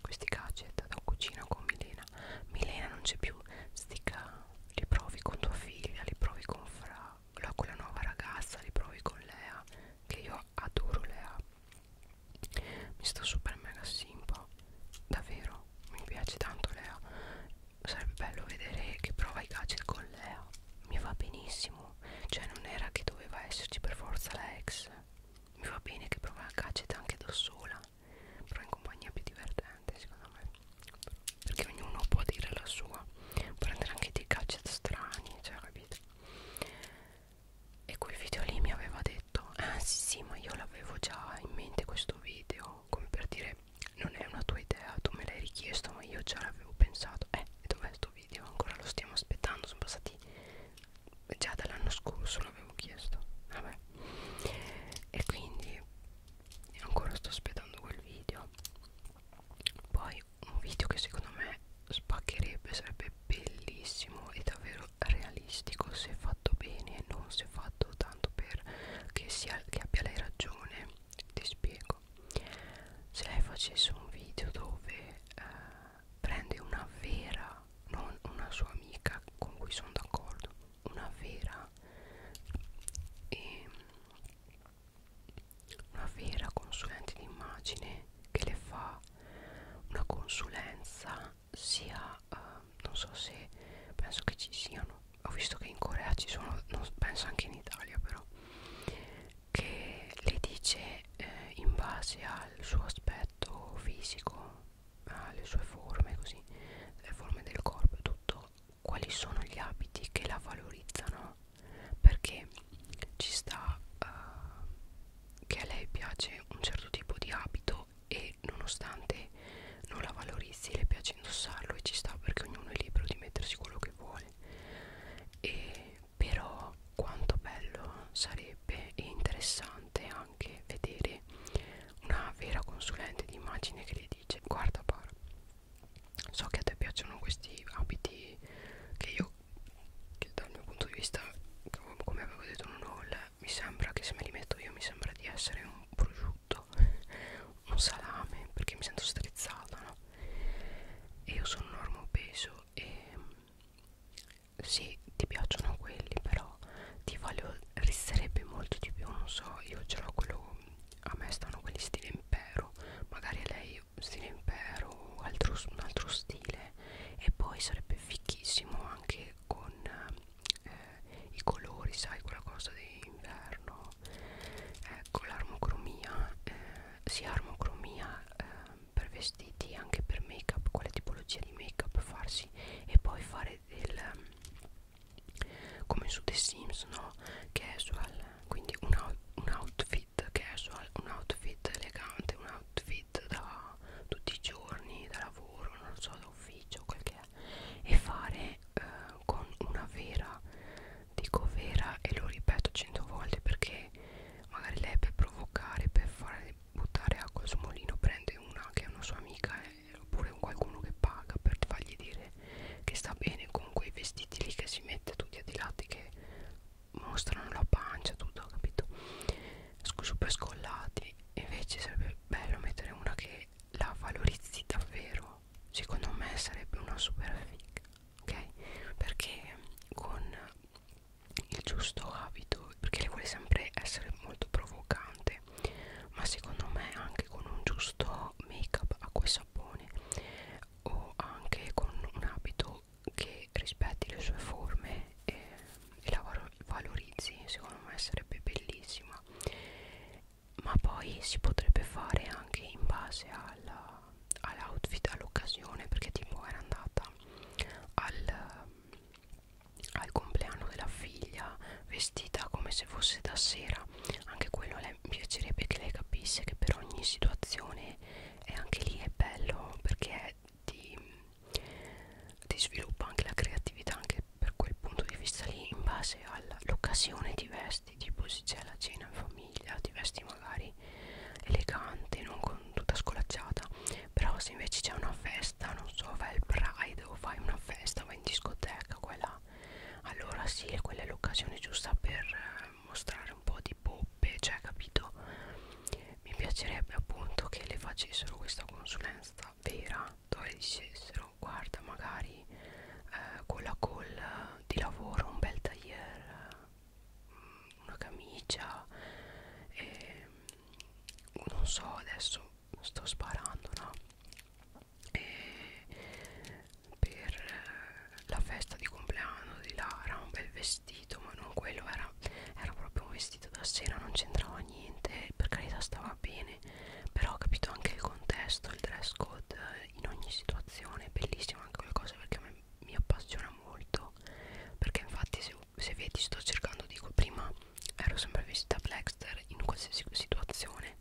questi gadget da cucina con Milena Milena non c'è più stica li provi con tua figlia li provi con Fra con la nuova ragazza li provi con Lea che io io adoro le app mi sta super mega simpa davvero mi piace tanto Lea sarebbe bello vedere che prova i gadget con Lea mi va benissimo cioè non era che doveva esserci per forza la ex mi va bene che prova il gadget anche da sola però in compagnia è più divertente secondo me perché ognuno può dire la sua prendere anche dei gadget strani cioè capito e quel video lì mi aveva detto ah sì sì ma io l'avevo già in mente questo video come per dire non è una tua idea tu me l'hai richiesto ma io già l'avevo pensato eh dov'è questo video ancora lo stiamo aspettando sono passati già dall'anno scorso l'avevo chiesto vabbè e quindi ancora sto aspettando quel video poi un video che secondo me spaccherebbe sarebbe bellissimo e davvero realistico se fatto bene non se fatto tanto per che, sia, che abbia lei ragione ti spiego se lei facesse un video dove eh, prende una vera non una sua amica con cui sono d'accordo una vera e ehm, una vera consulente di immagine che le fa una consulenza sia eh, non so se penso che ci siano ho visto che in Corea ci sono non, penso anche in Italia però che le dice eh, in base al suo aspetto fisico alle sue forme così le forme del corpo e tutto quali sono gli abiti che la valorizzano perché ci sta uh, che a lei piace un certo tipo di abito vestito e nonostante non la valorizzi le piace indossarlo e ci sta perché ognuno è libero di mettersi quello che vuole e però quanto bello sarebbe e interessante anche vedere una vera consulente di immagine che le dice guarda Par so che a te piacciono questi abiti che io che dal mio punto di vista come avevo detto non ho mi sembra che se me li metto io mi sembra di essere un prosciutto un salame perché mi sento strizzata no? e io sono normo peso e sì ti piacciono quelli però ti voglio risterebbe molto di più non so io ce l'ho quello a me stanno quelli stile impero magari a lei stile impero altro, un altro stile e poi sarebbe fichissimo anche eh, con eh, i colori, sai, quella cosa di inverno, ecco l'armocromia, eh, sì armocromia eh, per vestiti, anche per make up, quale tipologia di make up farsi e poi fare del come su The Sims, no? Casual, quindi un, out, un outfit casual, un outfit elegante, una, outfit da tutti i giorni, da lavoro, non so, da ufficio, quel che è, e fare eh, con una vera, dico vera e lo ripeto cento volte perché magari lei per provocare, per fare buttare acqua al suo mulino prende una che è una sua amica eh, oppure un qualcuno che paga per fargli dire che sta bene con quei vestiti lì che si mette tutti a di lati che mostrano la pancia tutto capito super scollati invece sarebbe bello mettere una che la valorizzi davvero secondo me sarebbe una super figa ok perché con il giusto abito perché lei vuole sempre essere molto provocante ma secondo me anche con un giusto make up acqua e sapone o anche con un abito che rispetti le sue forme e e la valorizzi secondo me sarebbe bellissima ma poi si potrebbe fare anche in base all'outfit all all'occasione perché tipo era andata al, al compleanno della figlia vestita come se fosse da sera anche quello a lei piacerebbe che lei capisse che per ogni situazione e anche lì è bello perché è di ti sviluppa anche la creatività anche per quel punto di vista lì in base all'occasione ti vesti tipo se c'è la cena in famiglia ti vesti magari elegante non con tutta scolacciata però se invece c'è una festa non so vai al pride o fai una festa vai in discoteca quella allora sì quella è l'occasione giusta per eh, mostrare un po' di poppe cioè capito mi piacerebbe appunto che le facessero questa consulenza abbastanza vera dove dicessero guarda magari eh, con la call di lavoro un bel tagliere mm, una camicia e, mm, non so adesso sto sparando no e per la festa di compleanno di Lara un bel vestito ma non quello era era proprio un vestito da sera non c'entrava niente per carità stava bene però ho capito anche il contesto il dress code eh, in ogni situazione è bellissima anche quella cosa perché me, mi appassiona molto perché infatti se, se vedi sto cercando dico prima ero sempre vestita blackster in qualsiasi situazione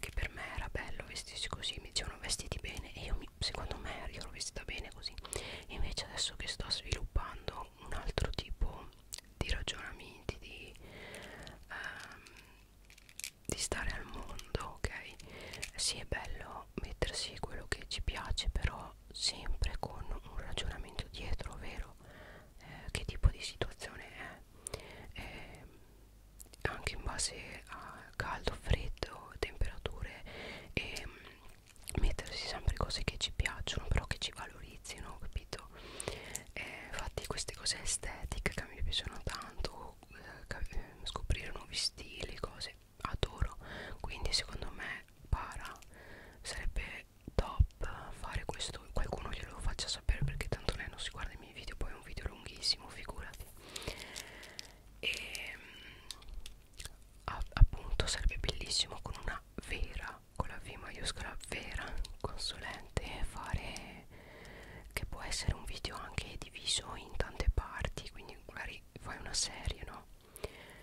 che per me era bello vestirsi così mi dicevano vestiti bene e io mi, secondo me io l'ho vestita bene così e invece adesso che sto sviluppando un altro tipo di ragionamenti, di, um, di stare al mondo, ok? Sì, è bello mettersi quello che ci piace, però sempre con un ragionamento dietro, ovvero eh, che tipo di situazione è. Eh, anche in base a caldo, freddo, temperature e ehm, mettersi sempre cose che ci piacciono però che ci valorizzano natalizi, no? Capito? Eh, infatti queste cose estetiche che mi piacciono tanto, eh, eh, scoprire nuovi stili, cose, adoro. Quindi secondo me para sarebbe top fare questo, qualcuno glielo faccia sapere perché tanto lei non si guarda i miei video, poi è un video lunghissimo, figurati. E ehm, a, appunto sarebbe bellissimo con una vera con la V maiuscola vera consulente fare che può essere un video anche diviso in tante parti quindi magari fai una serie no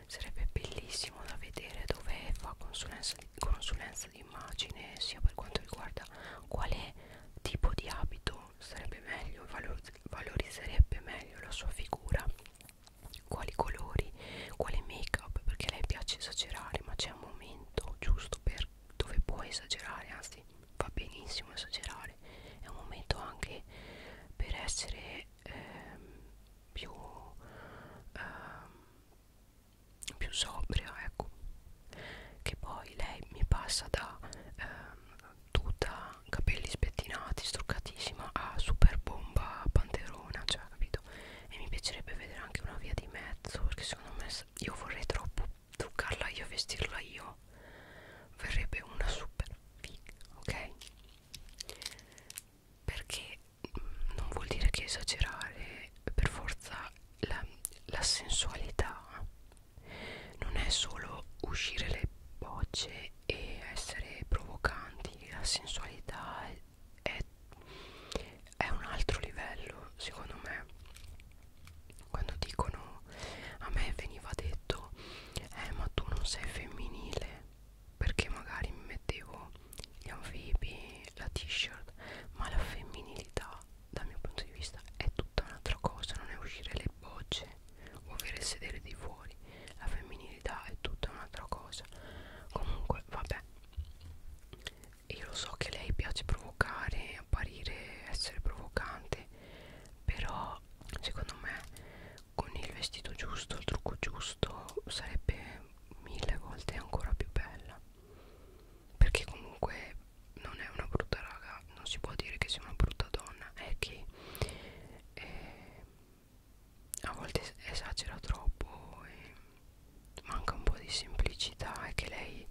sarebbe bellissimo da vedere dove fa consulenza di, consulenza di immagine sia per quanto riguarda quale tipo di abito sarebbe meglio valor, valorizzerebbe meglio la sua figura quali colori, quale make up, perché a lei piace esagerare, ma c'è un momento giusto per dove puoi esagerare, anzi va benissimo esagerare, è un momento anche per essere ehm, più, ehm, più sobria, ecco, che poi lei mi passa da ehm, tuta, capelli spettinati, struccatissima a super bomba panterona, cioè capito? e mi piacerebbe vedere anche una via di mezzo perché secondo me io vorrei troppo truccarla io vestirla io verrebbe una super figa ok perché mm, non vuol dire che esagerare per forza la, la sensualità non è solo uscire le bocce e essere provocanti la sensualità è, è, è un altro livello secondo me quando dicono a me veniva detto eh ma tu non sei femminile perché magari mi mettevo gli anfibi la t-shirt ma la femminilità dal mio punto di vista è tutta un'altra cosa non è uscire le bocce o avere il sedere di fuori la femminilità è tutta un'altra cosa comunque vabbè io lo so che lei piace provocare, apparire, essere provocante, però secondo me con il vestito giusto, il trucco giusto sarebbe mille volte ancora più bella. Perché comunque non è una brutta raga, non si può dire che sia una brutta donna, è che eh, a volte esagera troppo e manca un po' di semplicità e che lei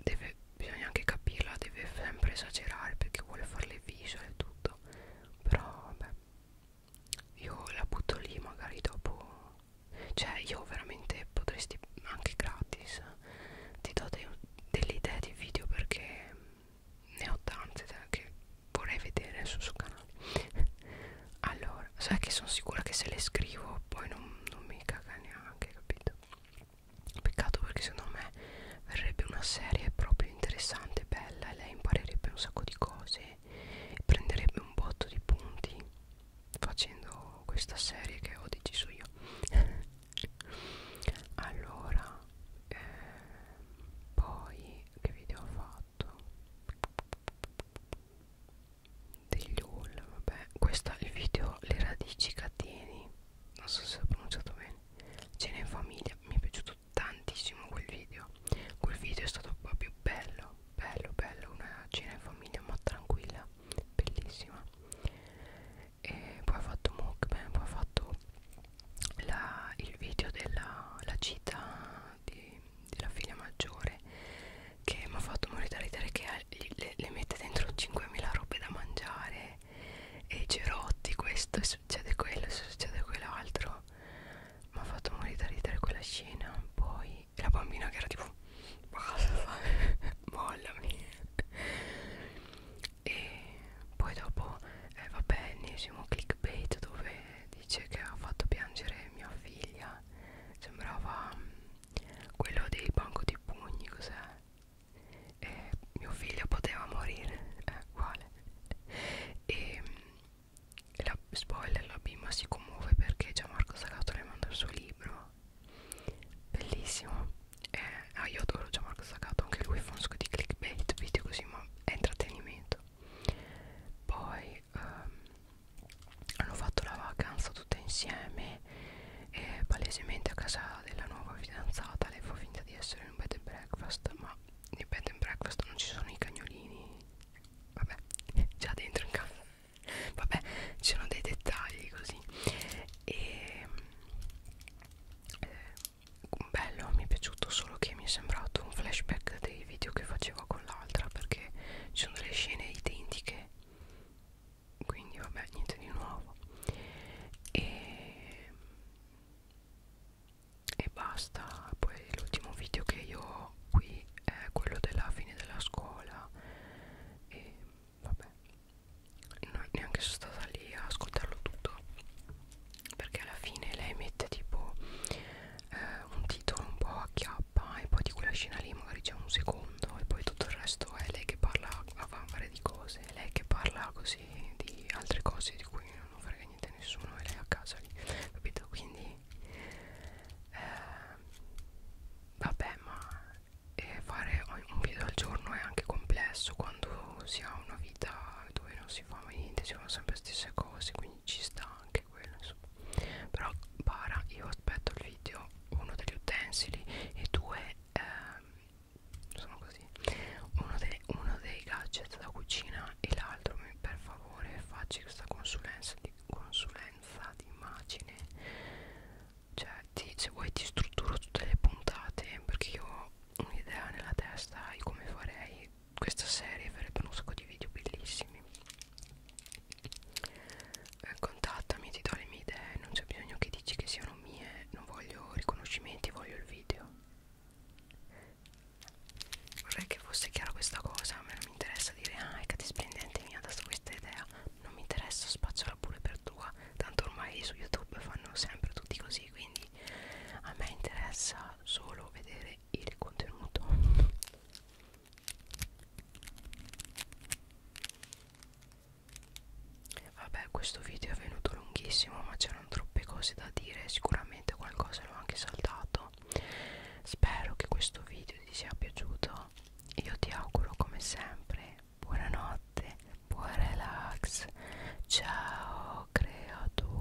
deve, bisogna anche capirla, deve sempre esagerare perché vuole fare le visual e tutto, però vabbè, io la butto lì magari dopo, cioè io veramente potresti anche gratis, ti do de delle idee di video perché ne ho tante cioè, che vorrei vedere sul suo canale strana allora sai che sono sicura che se le scrivo poi non, non mi caga neanche capito peccato perché secondo me verrebbe una serie proprio interessante bella e lei imparerebbe un sacco di cose e prenderebbe un botto di punti facendo questa serie che ho deciso io allora eh, poi che video ho fatto degli Hull, vabbè, questo è il video Le radici catene, non so se ho pronunciato bene, cena in famiglia, mi è piaciuto tantissimo quel video, quel video è stato proprio bello, bello, bello, una cena in famiglia ma tranquilla, bellissima, e poi ho fatto mukbang, poi ho fatto la, il video della la gita di della figlia maggiore che mi ha fatto morire da ridere che le, le mette dentro 5.000 robe da mangiare e cerotti questo e succede quello e succede quell'altro mi ha fatto morire da ridere quella scena poi la bambina che era tipo basta mollami e poi dopo eh, vabbè ennesimo clickbait dove dice che ha fatto piangere mia figlia era sembrava mm, quello dei banco di pugni cos'è e mio figlio poteva morire è eh, uguale e mm, la spoiler la bimba si commuove perché Gianmarco Sagato le manda il suo libro bellissimo eh, ah io adoro Gianmarco Sagato anche lui fa un sacco di clickbait video così ma è intrattenimento poi ehm, hanno fatto la vacanza tutte insieme e palesemente a casa della nuova fidanzata lei fa finta di essere in un bed and breakfast ma nel bed and breakfast non ci sono i cagnolini vabbè già dentro in casa vabbè ci sono dei dettagli così e eh, bello mi è piaciuto solo che mi è sembrato un flashback dei video che facevo con l'altra perché ci sono delle scene identiche quindi vabbè niente di nuovo e, e basta poi l'ultimo video che io ho qui è quello della fine della scuola e vabbè non neanche sono stata lì a ascoltarlo tutto perché alla fine lei mette tipo eh, un titolo un po' a chiappa e poi di quella scena lì magari c'è un secondo e poi tutto il resto è lei che parla a vanvare di cose, è lei che parla così di altre cose di cui non frega niente a nessuno e lei a casa lì, capito? Quindi eh, vabbè ma eh, fare un video al giorno è anche complesso quando si ha una vita dove non si fa mai niente, si fanno sempre le stesse cose, quindi ci sta anche anche quello insomma però para io aspetto il video uno degli utensili e due ehm, sono così uno, de, uno dei gadget da cucina e l'altro per favore facci questa consulenza di consulenza di immagine cioè ti, se vuoi ti strutturo tutte le puntate perché io ho un'idea nella testa di come farei questa serie farebbe un sacco di video bellissimi eh, contattami ti do le mie idee non c'è bisogno che dici che siano mie non voglio riconoscimenti voglio il video vorrei che fosse chiara questa cosa a me non mi interessa dire ah è che ti splendente mi ha dato questa idea non mi interessa spacciola pure per tua tanto ormai su youtube fanno sempre tutti così quindi a me interessa solo vedere il contenuto Vabbè questo video è venuto lunghissimo ma c'erano troppe cose da dire Sicuramente qualcosa l'ho anche saltato Spero che questo video ti sia piaciuto Io ti auguro come sempre buonanotte, buon relax Ciao creatura